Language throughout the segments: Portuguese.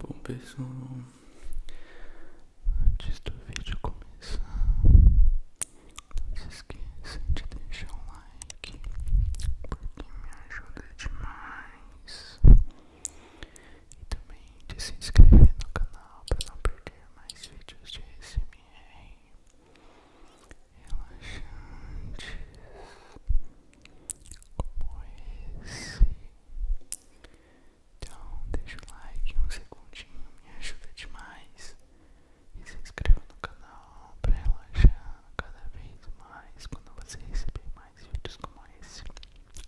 Bom pessoal, antes do vídeo começar, não se esqueça de deixar um like, porque me ajuda demais. E também de se inscrever no canal para não perder mais vídeos de SMR relaxantes como esse. Então deixa o like um segundinho, me ajuda demais e se inscreva no canal para relaxar cada vez mais quando você receber mais vídeos como esse,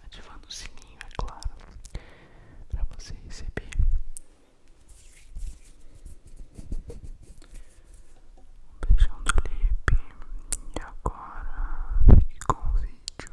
ativando o sininho, é claro, para você receber um beijão do Lipe e agora fique com o vídeo.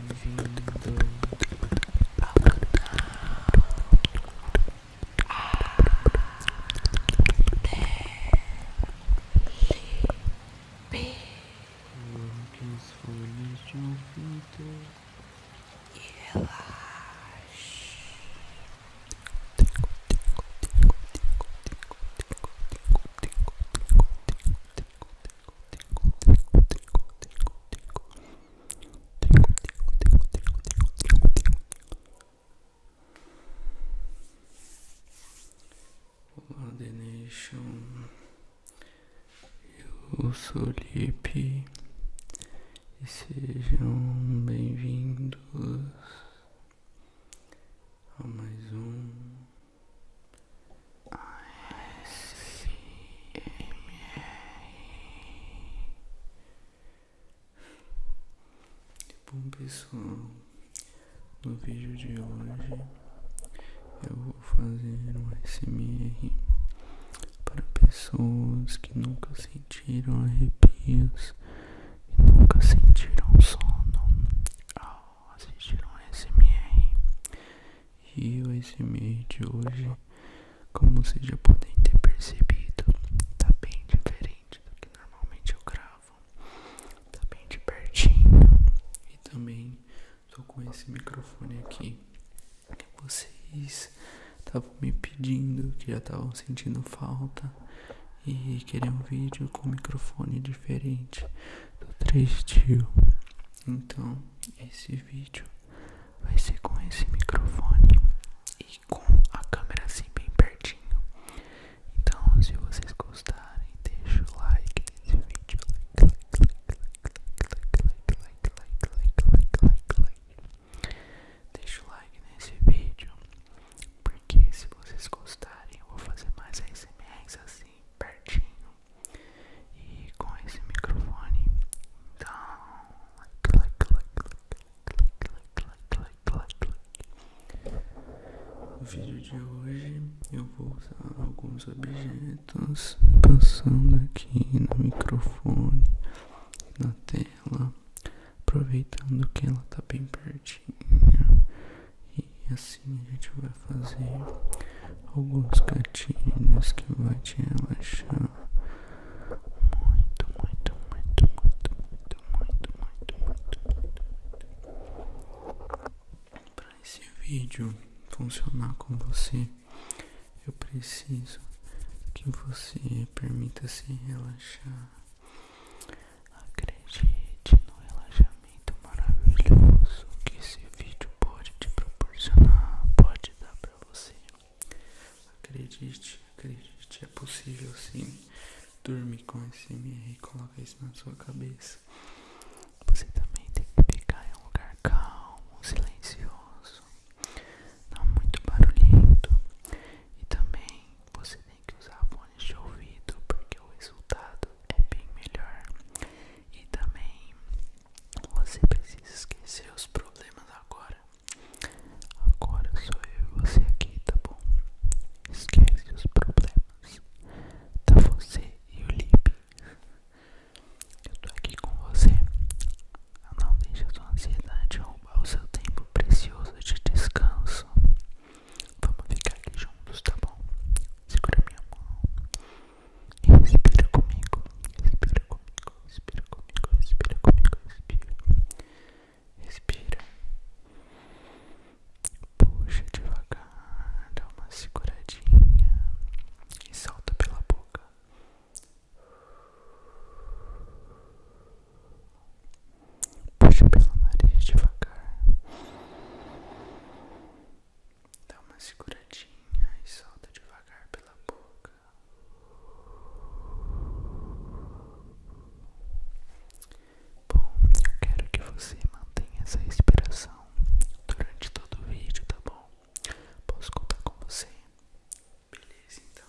bem-vindo ao canal ADLP Coloque os folhas de ouvido e relaxe Olá, The Eu sou Lipe e sejam bem-vindos a mais um Bom tipo, pessoal, no vídeo de hoje eu vou fazer um SMR para pessoas que nunca sentiram arrepios, e nunca sentiram sono ao assistir um SMR e o ASMR de hoje, como vocês já podem ter percebido, tá bem diferente do que normalmente eu gravo, tá bem de pertinho e também tô com esse microfone aqui que vocês estavam me pedindo, que já estavam sentindo falta e querendo um vídeo com microfone diferente do 3 Tio. Então, esse vídeo vai ser com esse microfone e com a câmera assim bem pertinho. Então, se vocês gostarem, deixa o like nesse vídeo. Like, like, like, like, like, like, like, like, like, like. Deixa o like nesse vídeo, porque se vocês gostarem, eu vou fazer mais ASMRs assim, pertinho e com esse microfone. Então, like, like, like, like, like, like, like, like. No vídeo de hoje eu vou usar alguns objetos passando aqui no microfone, na tela, aproveitando que ela tá bem pertinho. E assim a gente vai fazer alguns gatilhos que vai te relaxar muito, muito, muito, muito, muito, muito, muito, muito, muito, muito. Para esse vídeo funcionar com você, eu preciso que você permita se relaxar. Acredite no relaxamento maravilhoso que esse vídeo pode te proporcionar, pode dar pra você. Acredite, acredite, é possível sim. Dorme com SMR e coloque isso na sua cabeça. Você também tem que ficar em um lugar calmo, silencioso, não muito barulhento. E também você tem que usar fones de ouvido, porque o resultado é bem melhor. E também você precisa esquecer os problemas agora. Agora sou eu e você aqui, tá bom? Esquece os problemas. Tá você e o Lip. Eu tô aqui com você. Não deixe a sua ansiedade roubar o seu tempo precioso de descanso. Vamos ficar aqui juntos, tá bom? Segura minha mão. Respira comigo, respira comigo, respira comigo, respira comigo, respira. Respira. Puxa devagar, dá uma seguradinha e solta pela boca. Puxa pelo nariz devagar. Dá uma seguradinha e solta devagar pela boca. Bom, eu quero que você mantenha essa respiração durante todo o vídeo, tá bom? Posso contar com você? Beleza, então.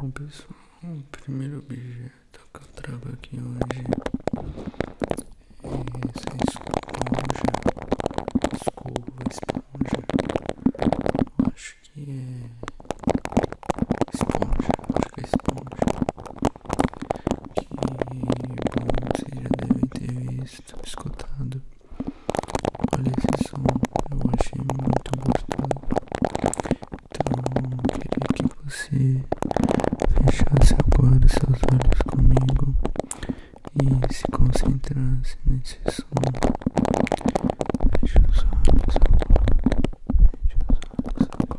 Bom pessoal, o primeiro objeto que eu trago aqui hoje é essa esponja, escova, esponja, acho que é esponja, acho que é esponja. Que bom que já devem ter visto, escutado. Olha esse som, eu achei muito gostoso. Então, eu queria que você fechasse agora seus olhos comigo e se concentrasse nesse som. Fecha os olhos agora. Fecha os olhos agora.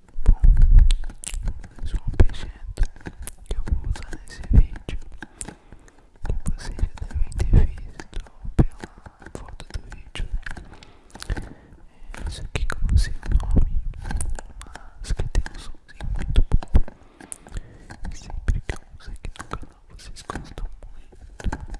bom, sou um objeto que eu vou usar nesse vídeo que vocês já devem ter visto pela foto do vídeo né? é aqui que eu não sei o nome mas que tem um somzinho muito bom sempre que eu uso aqui no canal vocês gostam muito, muito, muito.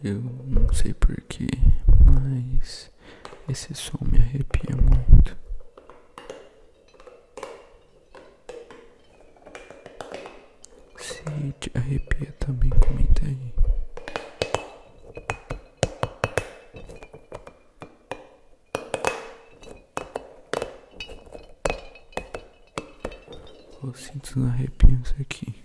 Eu não sei porquê, mas esse som me arrepia muito. Se te arrepia também, comenta aí. Vou sentindo arrepios aqui.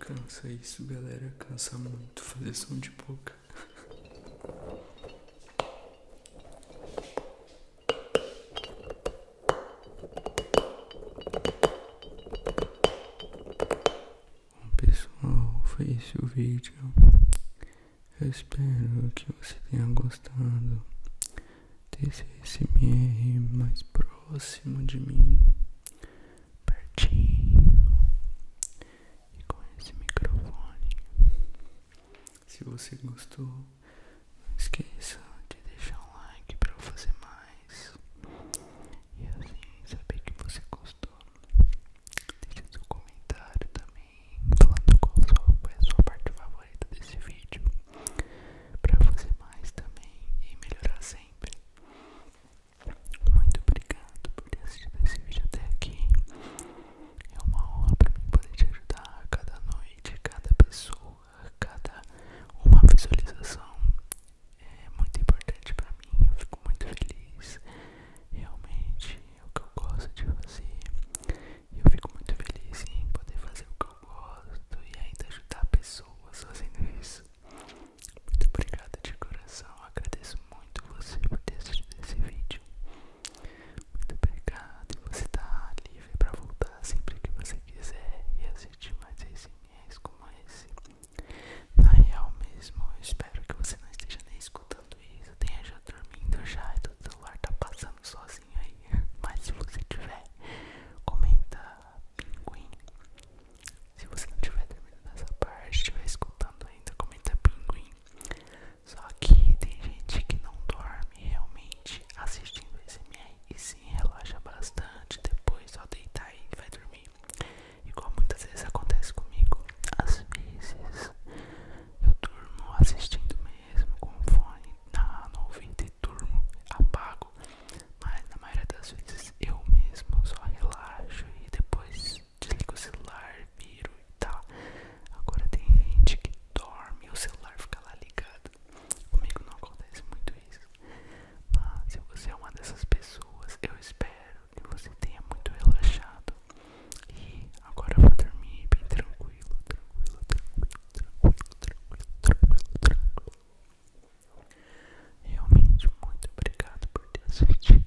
Cansa isso, galera. Cansa muito fazer som de boca. Bom, pessoal, foi esse o vídeo. Eu espero que você tenha gostado. Deixa esse MR mais próximo de mim, pertinho, e com esse microfone. Se você gostou, não esqueça de deixar um like para eu fazer mais e assim saber que você gostou. Deixa seu comentário também, falando qual foi é a sua parte favorita favorita desse vídeo para fazer mais também e melhorar sempre. Muito obrigado por ter assistido esse vídeo até aqui. É uma honra para mim poder te ajudar cada noite, cada pessoa, cada uma visualização. É muito importante para mim, eu fico muito feliz. Realmente é o que eu gosto de fazer. Eu fico muito feliz em poder fazer o que eu gosto e ainda ajudar pessoas fazendo isso. Muito obrigado de coração, agradeço muito você por ter assistido esse vídeo. Muito obrigado você tá livre para voltar sempre que você quiser e assistir mais ASMRs como esse. Na real mesmo, eu espero que você não esteja nem escutando isso, tenha já dormindo já e todo o celular tá passando sozinho. Mas se você tiver, comenta pinguim. Se você não tiver terminando essa parte, estiver escutando ainda, comenta pinguim. Só que tem gente que não dorme realmente assistindo SMR e sim relaxa bastante. Depois só deitar e vai dormir. Igual muitas vezes acontece comigo. Às vezes eu durmo assistindo mesmo com fone na, no e durmo, apago, mas na maioria das vezes eu mesmo só relaxo e depois desligo o celular, viro e tal. Agora tem gente que dorme e o celular fica lá ligado. Comigo não acontece muito isso, mas se você é uma dessas pessoas, eu espero que você tenha muito relaxado. E agora vou dormir bem tranquilo, tranquilo, tranquilo tranquilo, tranquilo, tranquilo, tranquilo. Realmente muito obrigado por ter assistido.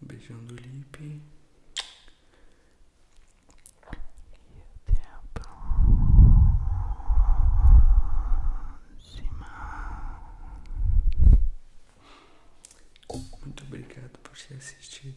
Beijando o lip. E até a Muito obrigado por se assistir.